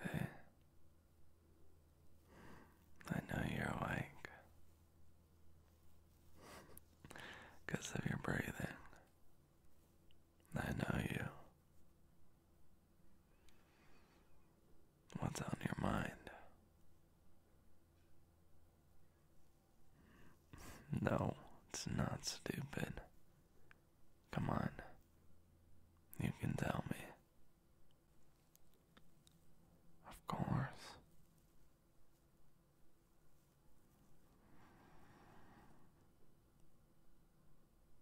Hey, I know you're awake because of your breathing. I know you. What's on your mind? No, it's not stupid. Come on. You can tell me. Of course.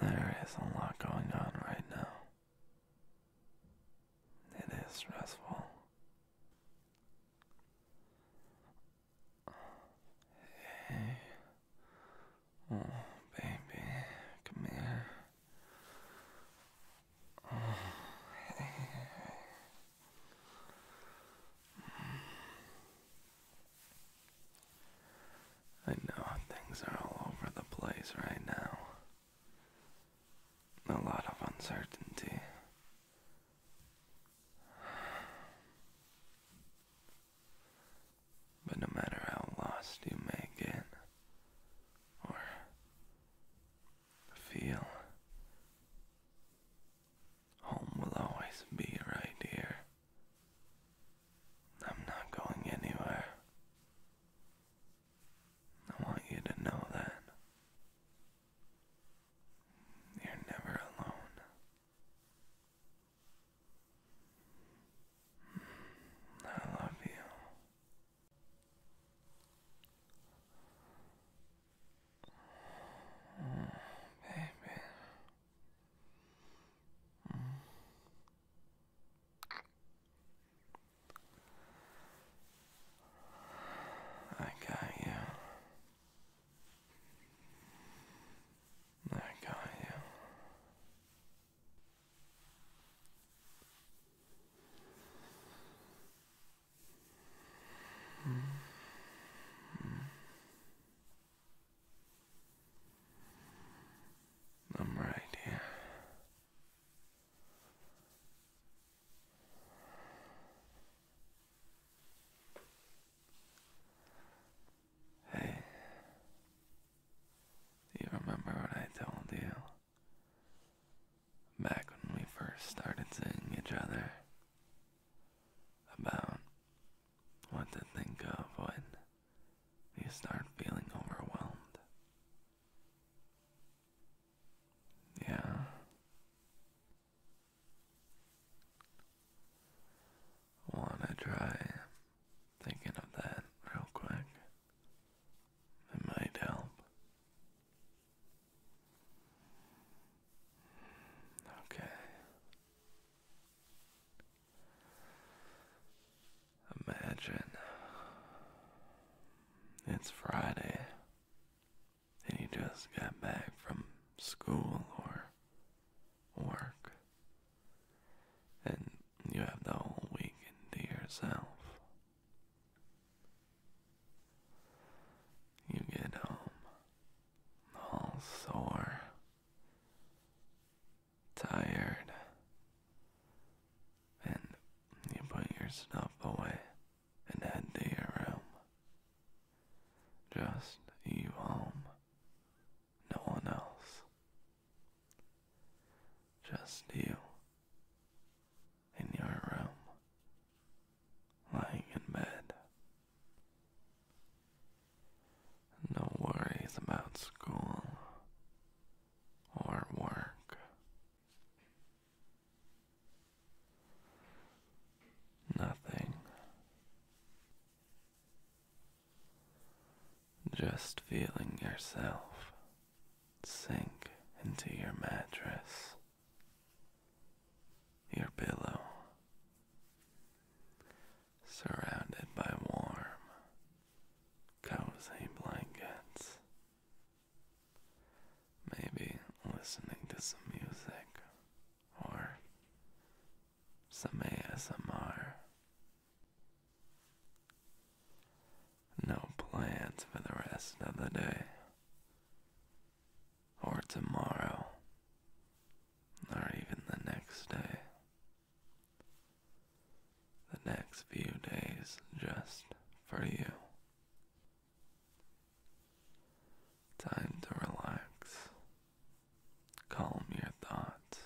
There is a lot going on right now. It is stressful. Hey. Oh, baby, come here. Oh, hey. I know things are all over the place right now. A lot of uncertainty. But no matter how lost you may get, or feel, Home will always be right here. I'm not going anywhere. I want you to know that. You're never alone. I love you. Baby. I got you. I got you. Mm. I'm right here. Hey, do you remember what I told you? Back when we first started seeing each other, about what to think of when you start feeling overwhelmed. Yeah. Wanna try thinking of that real quick? It might help. Okay. Imagine it's Friday and you just got back from school or work and you have the whole weekend to yourself. You get home all sore, tired, and you put your stuff away and head to your room. Just you home, no one else. Just you in your room, lying in bed. No worries about school or work. Nothing. Just feeling yourself sink into your mattress your pillow, surrounded by warm, cozy blankets, maybe listening to some music or some ASMR. No plans for the rest of the day. Or tomorrow. Or even the next day. The next few days just for you. Time to relax. Calm your thoughts.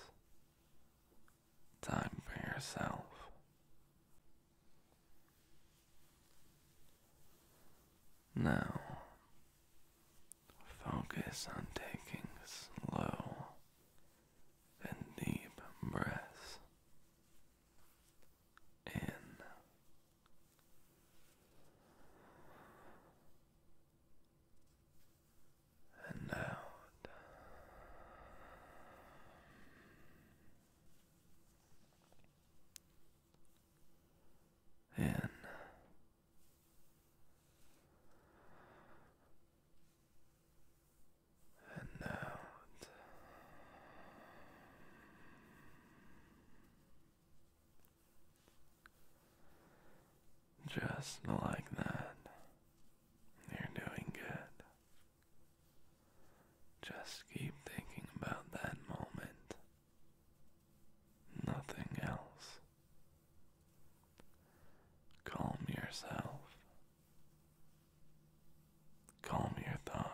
Time for yourself. Now, focus on taking slow and deep breaths in and out in. And now just like that, you're doing good. Just keep thinking about that moment. Nothing else. Calm yourself. Calm your thoughts.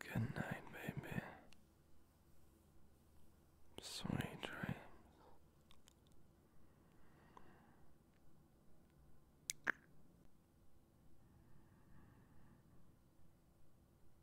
Good night, baby. Sweet dreams.